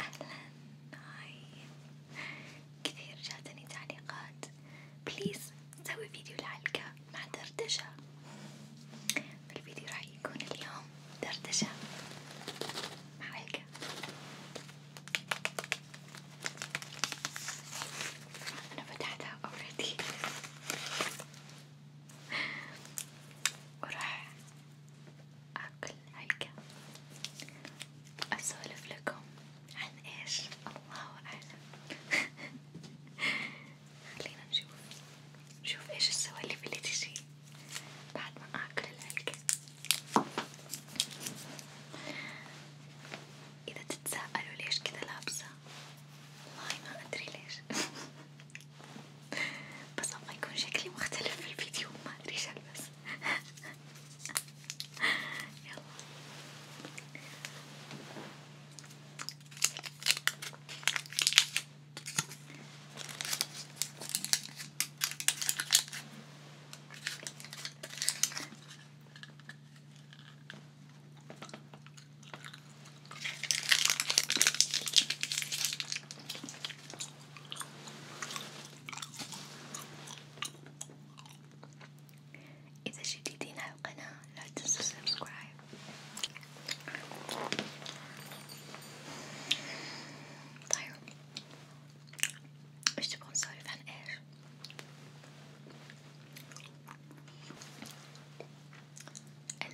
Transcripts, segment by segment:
أهلا هاي كثير جاتني تعليقات بليز سوي فيديو الحلقة مع دردشة الفيديو راح يكون اليوم دردشة مع حلقة أنا فتحتها أوريدي وراح أكل هلكة أسولف لكم عن إيش الله أعلم خلينا نشوف نشوف إيش السوالف اللي تجي بعد ما أكل الهلكة إذا تتساءلوا ليش كذا لابسة والله ما أدري ليش بس ابغى يكون شكلي مختلف في الفيديو ما ادري ايش البس يلا إذا جديدين على القناة لا تنسوا سبسكرايب طيب ايش تبغون نسولف عن ايش؟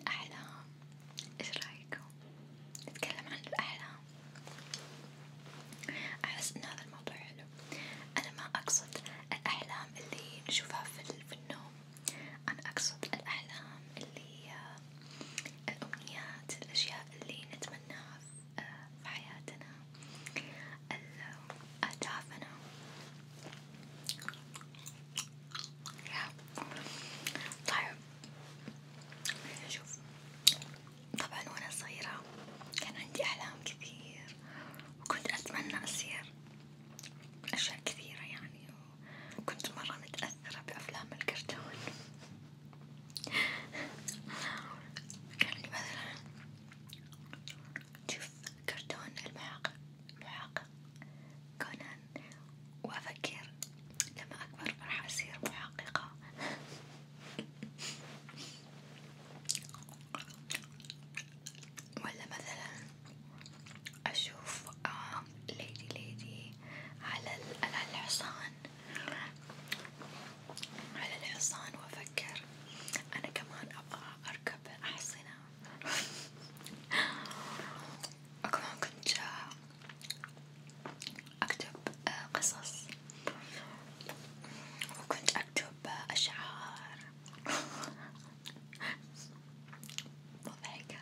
الأحلام ايش رايكم نتكلم عن الأحلام أحس إن هذا الموضوع حلو أنا ما أقصد الأحلام اللي نشوفها في النوم أنا أقصد الأحلام اللي آه، الأمنيات الأشياء اللي نتمناها في آه، حياتنا أهدافنا طيب شوف طبعا وانا صغيرة كان عندي احلام كثير وكنت اتمنى اصير اشياء كثيرة يعني وكنت مرة متأثرة بافلام الكرتون كان عندي مثلا شوف كرتون المعاقب المعاقب كونان وأفكر لما أكبر راح أصير محققة ولا مثلا أشوف آه ليدي ليدي على الحصان على الحصان وأفكر أنا كمان أبغى أركب أحصنة وكمان كنت أكتب آه، قصص وكنت أكتب آه، أشعار مضحكة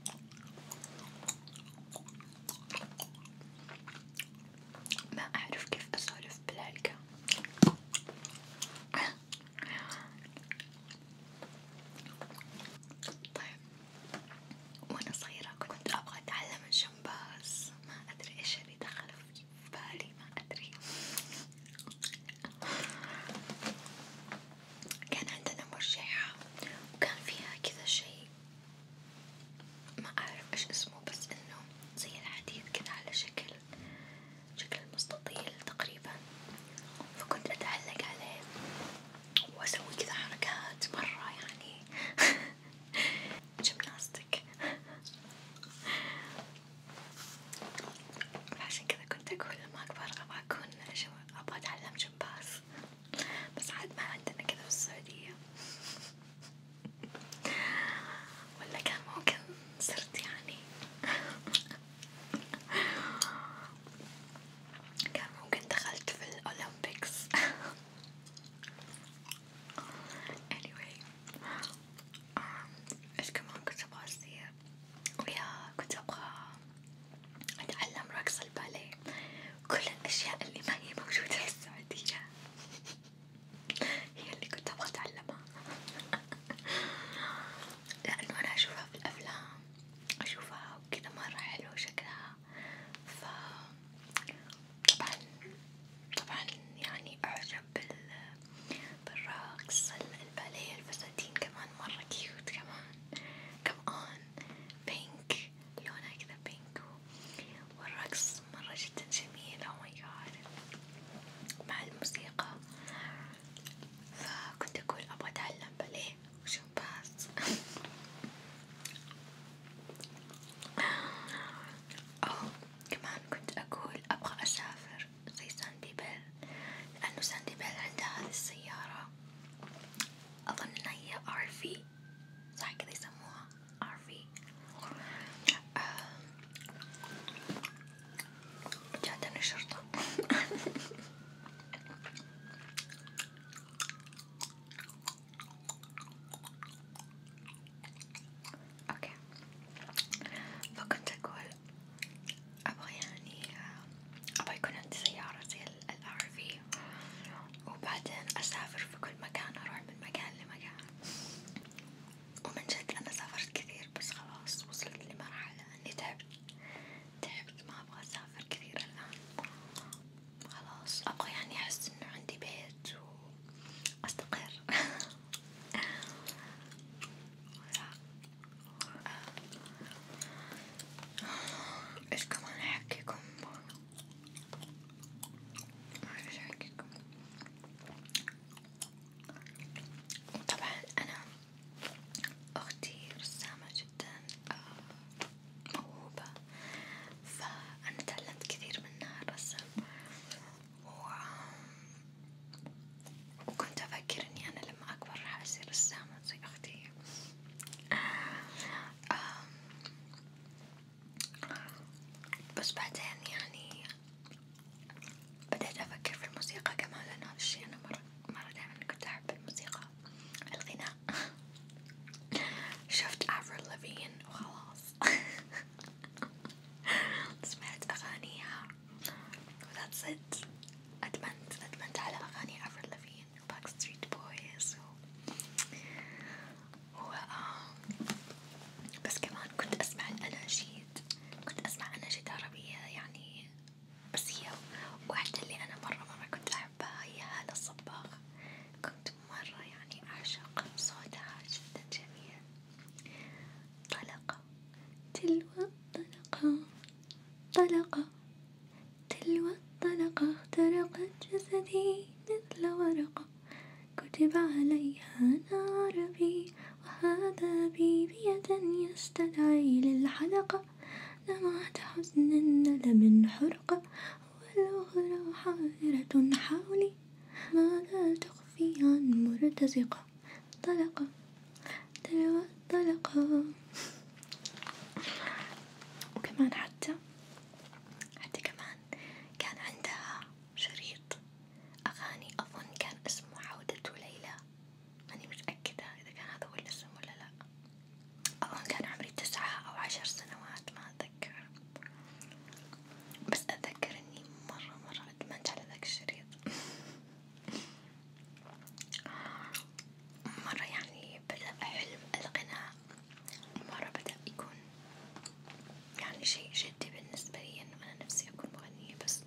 ما أعرف كيف أسولف بالعلقة طيب وانا صغيرة كنت ابغى اتعلم الجمباز ما ادري ايش اللي دخل في بالي ما ادري كان عندنا مرجعة وكان فيها كذا شيء ما اعرف ايش اسمه بس انه زي الحديد كذا على شكل شكل شكل مستطيل تقريبا فكنت أتعلق عليه وأسوي كذا حركات مرة يعني جمناستيك عشان كذا كنت أقول لما أكبر أبغى أكون أبغى أتعلم جمباز بس عاد ما عندنا كذا في السعودية ولا كان ممكن صرت يعني كان ممكن دخلت في الأولمبيكس anyway ايش كمان كنت ابغى اصير ويا كنت ابغى اتعلم رقص الباليه كل الاشياء اللي ما هي موجودة في السعودية هي اللي كنت أبغى أتعلمها لأنه أنا أشوفها في الأفلام أشوفها وكذا مرة حلو شكلها ف طبعا طبعا يعني أعجب بال بالرقص الباليه الفساتين كمان مرة كيوت كمان كمان بينك لونها كذا بينك والرقص مرة جدا جميل أو ماي جاد مع الموسيقى فكنت أقول أبغى أتعلم باليه وشمباز أو كمان كنت أقول أبغى أسافر زي ساندي بيل لأنه ساندي بيل عندها هذه السيارة أظن إنها هي RV صح كذا يسموها RV جاتني الشرطة اوكي فكنت اقول ابغى يعني ابغى يكون عندي سيارة زي الار في وبعدين اسافر في كل مكان اروح من مكان لمكان ومن جد أنا سافرت كثير بس خلاص وصلت لمرحلة إني تعبت تعبت ما أبغى أسافر كثير الآن خلاص أبغى يعني أحس إنه عندي بيت وأستقر إيش كمان أحكيكم ما أعرف أحكيكم وطبعا أنا أختي رسامة جدا آه، موهوبة فأنا تعلمت كثير منها الرسم وكنت أفكر إني أنا لما أكبر راح أصير رسامة زي أختي آه، بس بعدين يعني بدأت أفكر في الموسيقى كمان لأن هذا الشي أنا مرة مرة دايما كنت أحب الموسيقى الغناء شفت أفرل لافين وخلاص سمعت أغانيها وذاتس إت أدمنت أدمنت على أغاني أفرل لافين وباك ستريت بويز و آه، بس كمان كنت أسمع الأناشيد كنت أسمع أناشيد عربية يعني بس هي واحدة اللي أنا مرة مرة كنت أحبها هي هالة الصباغ كنت مرة يعني أعشق صوتها جدا جميل طلقة تلو الطلقة طلقة تلو الطلقة اخترقت جسدي مثل ورقة كتب عليها نار بي وهذا بي بيدا يستدعي للحلقة لمعت حزن الندم حرقة والأخرى حائرة حولي ما لا تخفي عن مرتزقة طلقة تلوى طلقة وكمان حتى حتى كمان كان عندها شريط أغاني أظن كان اسمه عودة ليلى ماني متأكدة إذا كان هذا هو الاسم ولا لأ أظن كان عمري تسعة أو عشر سنوات ما أتذكر بس أتذكر إني مرة مرة أدمنت على ذاك الشريط مرة يعني بدأ حلم الغناء مرة بدأ يكون يعني شيء جدي بالنسبة لي إنه أنا نفسي أكون مغنية بس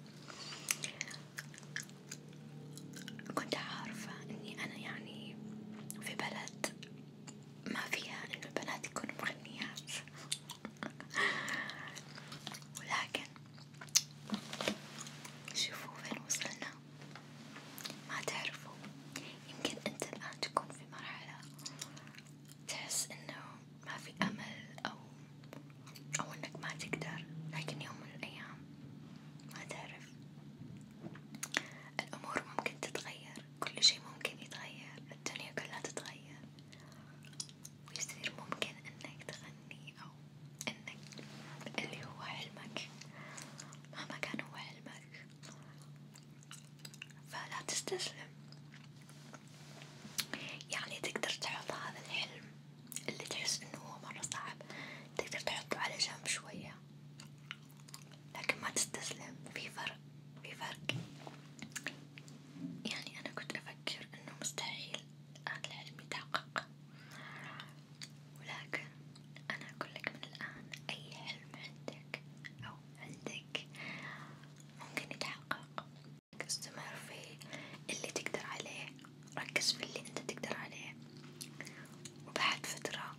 كنت عارفة إني أنا يعني في بلد ما فيها إنه البنات يكونوا مغنيات ولكن شوفوا فين وصلنا ما تعرفوا يمكن أنت الآن تكون في مرحلة تحس انه ما في امل او او انك ما تقدر لكن يوم من الايام ما تعرف الامور ممكن تتغير كل شي ممكن يتغير الدنيا كلها تتغير ويصير ممكن انك تغني او انك اللي هو حلمك مهما كان هو حلمك فلا تستسلم يعني تقدر تحط هذا الحلم اللي تحس انه هو مرة صعب تقدر تحطه على جنب شوية لكن ما تستسلم في فرق في فرق يعني انا كنت افكر انه مستحيل هذا الحلم يتحقق ولكن انا اقول لك من الان اي حلم عندك او عندك عليك ممكن يتحقق استمر في اللي تقدر عليه ركز في اللي انت تقدر عليه وبعد فترة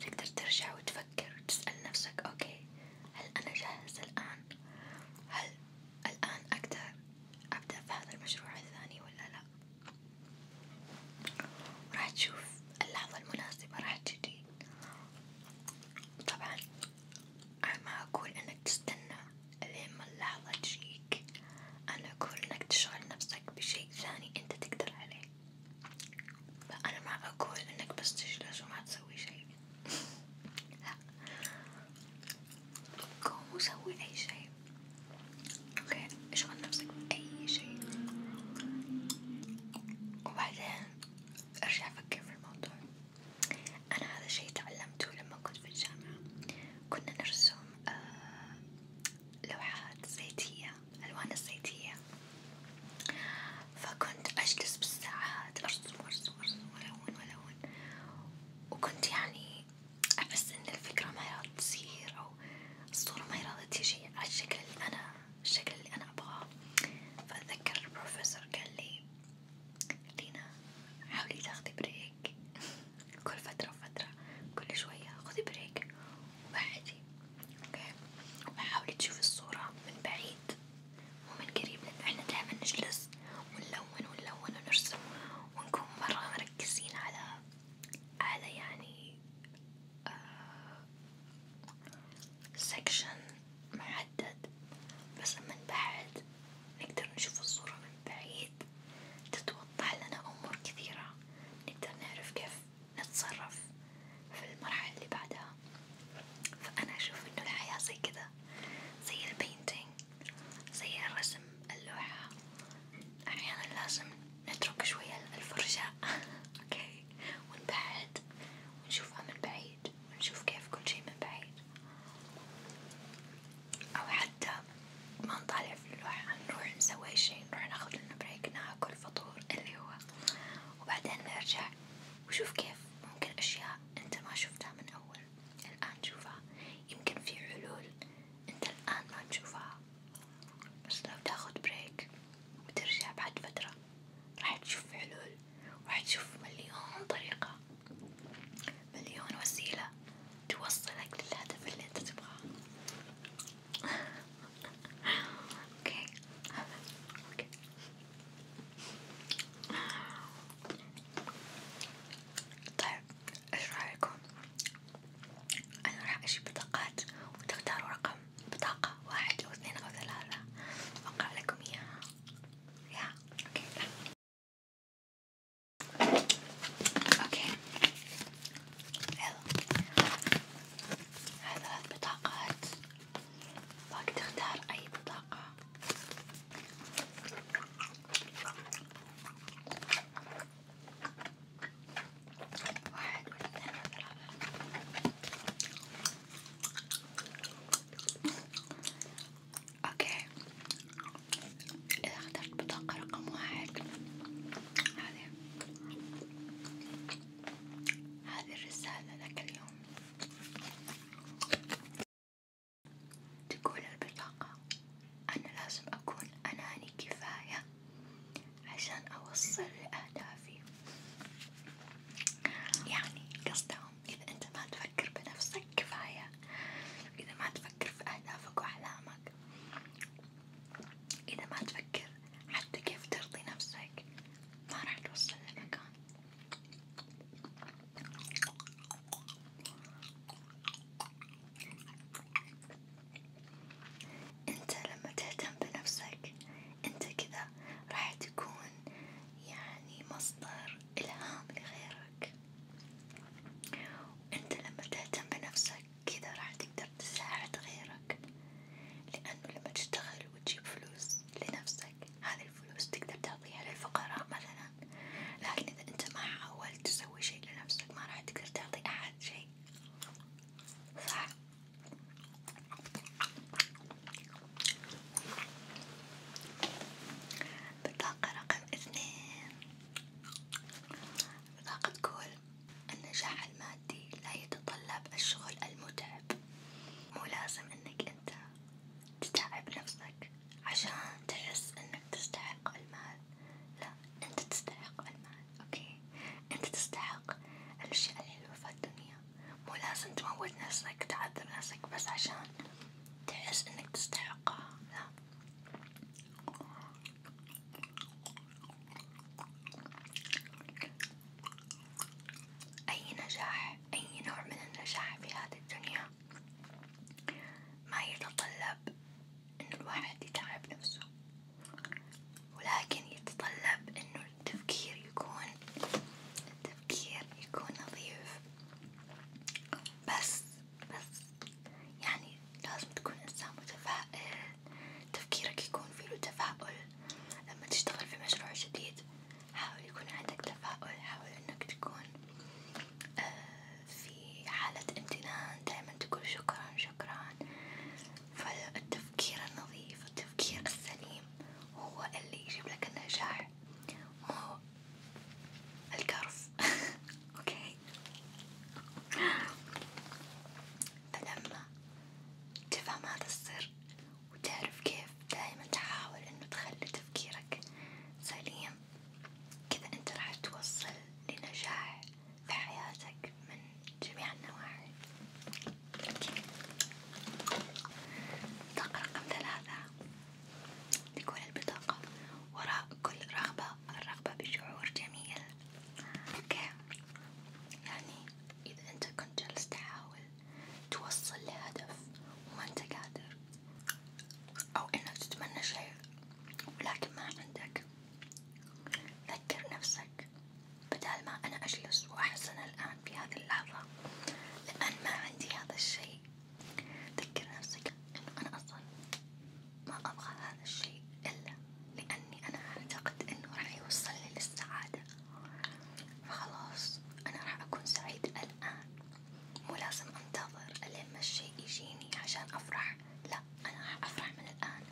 تقدر ترجع وتفكر وتسأل نفسك اوكي هل انا جاهز الان هل الان اقدر ابدأ في هذا المشروع الثاني ولا لا وراح تشوف اللحظة المناسبة راح تجي طبعا أنا ما أقول إنك تستنى لين ما اللحظة تجيك، أنا أقول إنك تشغل نفسك بشيء ثاني أنت تقدر عليه، فأنا ما أقول إنك بس تجلس وما تسوي شيء، لا، قوم وسوي أي شيء، أوكي، اشغل نفسك بأي شيء، وبعدين أرجع أفكر في الموضوع، أنا هذا الشي تعلمته لما كنت في الجامعة، كنا نرسم آه لوحات زيتية، ألوان الزيتية، فكنت أجلس بالساعات أرسم وأرسم وأرسم وألون وألون، وكنت يعني أحس إن الفكرة ما هي راضي تصير أو الصورة ما هي راضي تيجي على الشكل اللي أنا الشكل اللي أنا أبغاه، فأتذكر البروفيسور قال لي لينا حاولي تاخدي بريك كل فترة وفترة كل شوية خذي بريك وبعدي اوكي وحاولي تشوفي الصورة من بعيد مو من قريب لأن احنا دايما نجلس ونلون ونلون ونرسم ونكون مرة مركزين على على يعني سكشن محدد بس من بعد نقدر نشوف الصورة من بعيد تتوضح لنا أمور كثيرة نقدر نعرف كيف نتصرف في المرحلة اللي بعدها فأنا أشوف إنه الحياة زي كذا زي البينتينج زي الرسم اللوحة أحيانا لازم نترك شوية الفرشاة اوكي ونبعد ونشوفها آه، من بعيد ونشوف كيف كل شي من بعيد او حتى ما نطالع في اللوحة نروح نسوي شي نروح ناخذ لنا بريك ناكل فطور اللي هو وبعدين نرجع وشوف كيف ممكن اشياء انت ما شفتها من اول الان شوفها يمكن في حلول انت الان ما تشوفها بس لو تاخد بريك بترجع بعد فترة راح تشوف حلول وراح تشوف مليون طريقة مليون وسيلة توصلك للهدف اللي انت تبغاه اوكي اوكي طيب ايش رايكم أنا راح أجيب بطاقات وتختاروا رقم بطاقة واحد أو اثنين أو ثلاثة وأقرأ لكم إياها يا أوكي أوكي يلا هاي ثلاث بطاقات باقي تختار أي بطاقة واحد واثنين وثلاثة اوكي اذا اخترت بطاقة رقم واحد هذه هذه الرسالة ذاك اليوم تقول البطاقة أنا لازم أكون أناني كفاية عشان أوصل لأهدافي يعني قصدهم إذا أنت ما تفكر بنفسك كفاية إذا ما تفكر في أهدافك وأحلامك إذا ما تفكر حتى كيف ترضي نفسك ما راح توصل لمكان انت لما تهتم بنفسك انت كذا راح تكون يعني مصدر الهام لغيرك وانت لما تهتم بنفسك كذا راح تقدر تساعد غيرك لانه لما تشتغل وتجيب فلوس لنفسك هذه الفلوس تقدر تعطيها للفقراء مثلا لكن اذا انت ما حاولت تسوي شيء لنفسك ما راح تقدر تعطي احد شيء شوي صح بطاقة رقم اثنين بطاقة تقول النجاح المادي لا يتطلب الشغل المتعب مو لازم انك انت تتعب نفسك عشان تحس انك تستحق المال لا أنت تستحق المال، أوكي؟ أنت تستحق الأشياء الحلوة في الدنيا، مو لازم تموت نفسك تعذب نفسك بس عشان تحس إنك تستحقها، لا، أي نجاح، أي نوع من النجاح في هذه الدنيا ما يتطلب إنه الواحد يتعب نفسه، ولكن يتطلب إنه التفكير يكون التفكير يكون نظيف، بس بس يعني لازم تكون إنسان متفائل، تفكيرك يكون فيه له تفاؤل، لما تشتغل في مشروع جديد حاول يكون عندك تفاؤل، حاول إنك تكون آآ آه، في حالة امتنان دايما تقول شكرا شكرا فالتفكير النظيف التفكير السليم هو اللي يجيب لك النجاح مو الكرف اوكي فلما تفهم هذا السر وتعرف كيف دايما تحاول انه تخلي تفكيرك سليم كذا أنت راح توصل لنجاح في حياتك من جميع النواحي. الطاقة رقم ثلاثة تكون البطاقة وراء كل رغبة الرغبة بشعور جميل. أوكي يعني إذا أنت كنت جالس تحاول توصل لهدف وما أنت قادر أو إنك تتمنى شيء ولكن ما عندك، ذكر نفسك بدال ما أنا أجلس وأحزن الآن في هذه اللحظة لأن ما عندي هذا الشيء، ذكر نفسك إنه أنا أصلا ما أبغى هذا الشيء إلا لأني أنا أعتقد إنه راح يوصلني للسعادة، فخلاص أنا راح أكون سعيدة الآن مو لازم انتظر الين ما الشي يجيني عشان افرح لا انا راح افرح من الان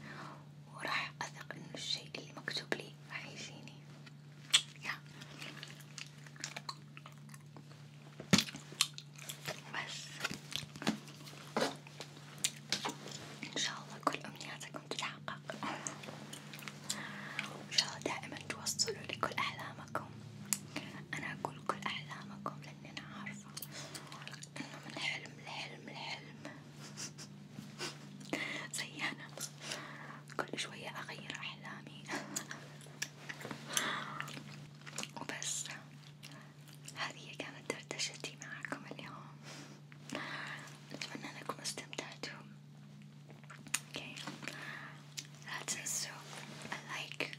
وراح اثق انه الشي اللي مكتوب لي راح يجيني يا بس ان شاء الله كل امنياتكم تتحقق ان شاء الله دائما توصلوا لكل احلامكم انا اقول كل احلامكم ان انا عارفة انه من حلم لحلم لحلم زي انا كل شوية اغير احلامي وبس هذه كانت دردشتي معكم اليوم اتمنى انكم استمتعتوا اوكي لا تنسوا اللايك